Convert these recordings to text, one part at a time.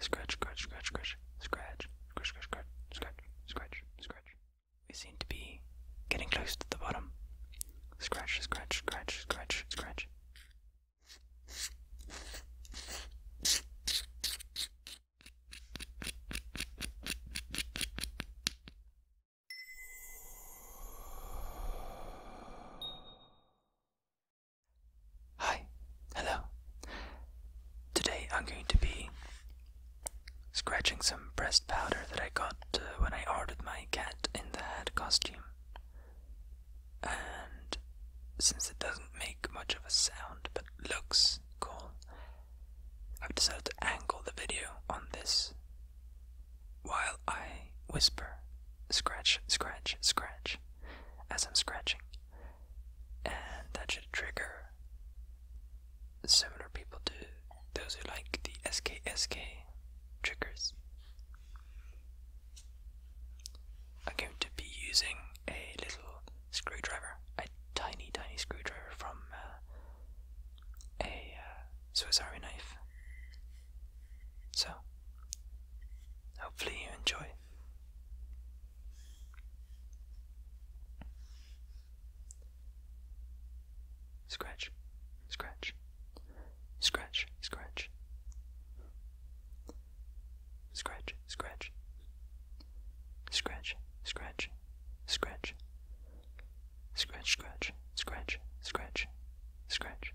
Scratch, scratch, scratch, scratch, scratch, scratch, scratch, scratch, scratch, scratch, scratch. We seem to be getting close to the bottom. Scratch, scratch, scratch, scratch, scratch. Hi, hello. Today I'm going to be scratching some breast powder that I got uh, when I ordered my cat in the hat costume. And since it doesn't make much of a sound but looks cool, I've decided to angle the video on this while I whisper scratch, scratch, scratch as I'm scratching. And that should trigger similar people do those who like the SKSK triggers. I'm going to be using a little screwdriver, a tiny, tiny screwdriver from uh, a uh, Swiss Army knife so, hopefully, you enjoy. Scratch, scratch, scratch, scratch, scratch, scratch, scratch, scratch, scratch, scratch, scratch, scratch, scratch, scratch,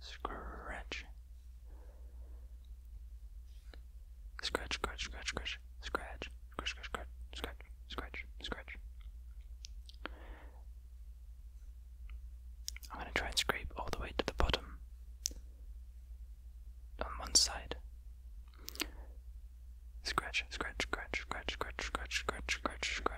Scratch. Scratch, scratch, scratch, scratch, scratch, scratch, scratch, scratch, scratch, scratch, scratch. I'm going to try and scrape all the way to the bottom on one side. Scratch, scratch, scratch, scratch, scratch, scratch, scratch, scratch, scratch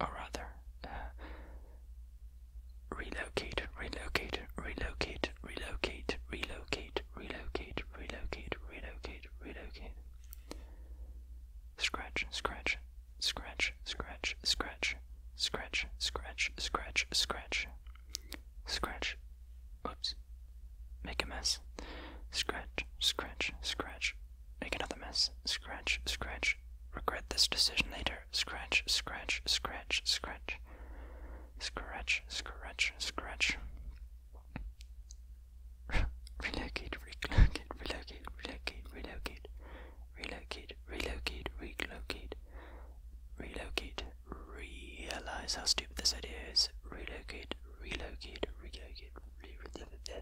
or rather, uh, relocate, relocate, relocate, relocate, relocate, relocate, relocate, relocate, relocate. Scratch, scratch, scratch, scratch, scratch, scratch, scratch, scratch, scratch, scratch. Oops, make a mess. Scratch, scratch, scratch, Make another mess. Scratch, scratch. Regret this decision later. Scratch, scratch, scratch, scratch. Scratch, scratch, scratch. relocate, relocate, relocate, relocate, relocate. Relocate, relocate, relocate. Relocate. Realize how stupid this idea is. Relocate, relocate, relocate. Re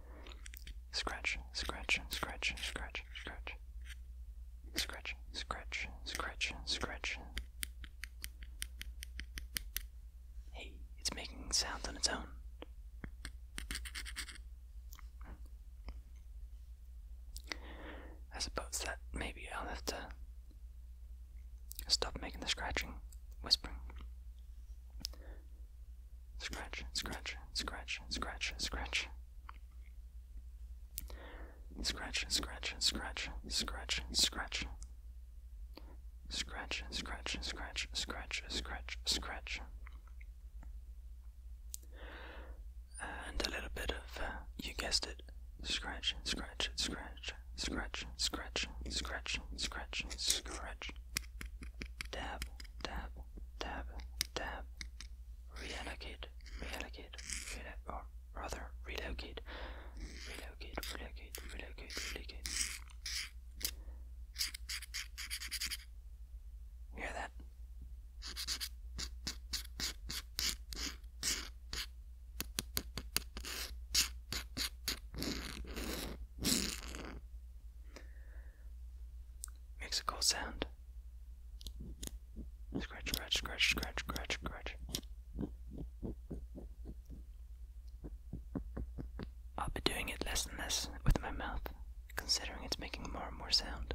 Scratch, scratch, scratch, scratch, scratch. Scratch, scratch, scratch, scratch. Hey, it's making sounds on its own. I suppose that maybe I'll have to stop making the scratching, whispering. Scratch, scratch, scratch, scratch, scratch. Scratch, scratch, scratch, scratch, scratch. Scratch, scratch, scratch, scratch, scratch, scratch. And a little bit of, uh, you guessed it, scratch, scratch, scratch, scratch, scratch, scratch, scratch, scratch. Dab, tab, tab, tab, reallocate, reallocate, reallocate, or rather relocate, relocate, relocate, relocate, relocate. Hear that? Makes sound. Scratch, scratch, scratch, scratch, scratch, scratch. I'll be doing it less and less with my mouth, considering it's making more and more sound.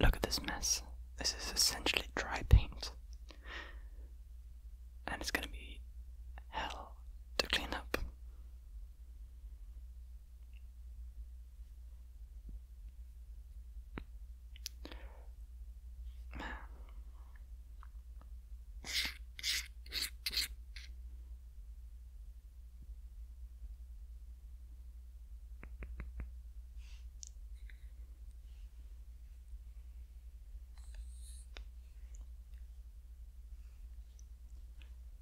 Look at this mess. This is essentially dry paint. And it's gonna be hell to clean up.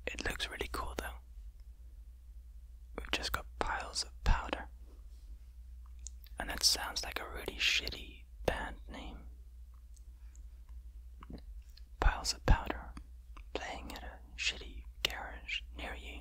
It looks really cool though. We've just got piles of powder. And that sounds like a really shitty band name. Piles of powder playing at a shitty garage near you.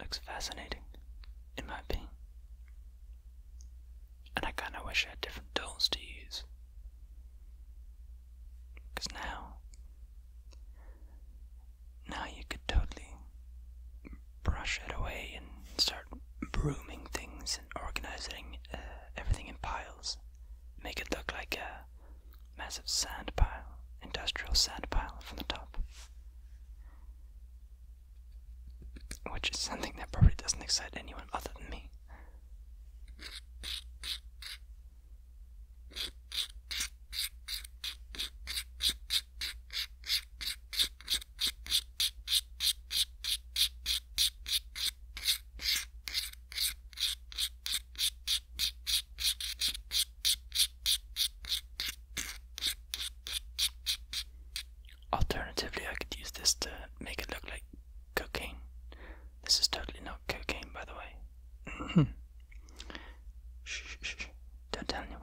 Looks fascinating, in my opinion. And I kinda wish I had different tools to use. Because now, now you could totally brush it away and start brooming things and organizing uh, everything in piles. Make it look like a massive sand pile, industrial sand pile from the top. Which is something that probably doesn't excite anyone other than me. Alternatively, I could use this to make it look like cocaine this is totally not cocaine, by the way. shh, shh, shh. Don't tell anyone.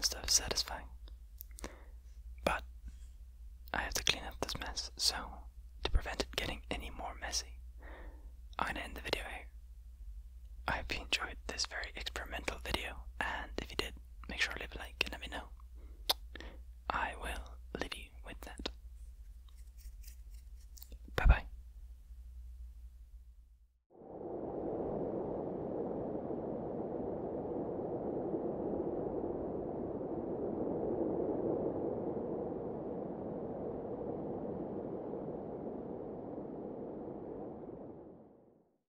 Stuff satisfying. But I have to clean up this mess, so to prevent it getting any more messy, I'm gonna end the video here. I hope you enjoyed this very experimental video, and if you did, make sure to leave a like, and let me know. I will leave you with that. Bye bye.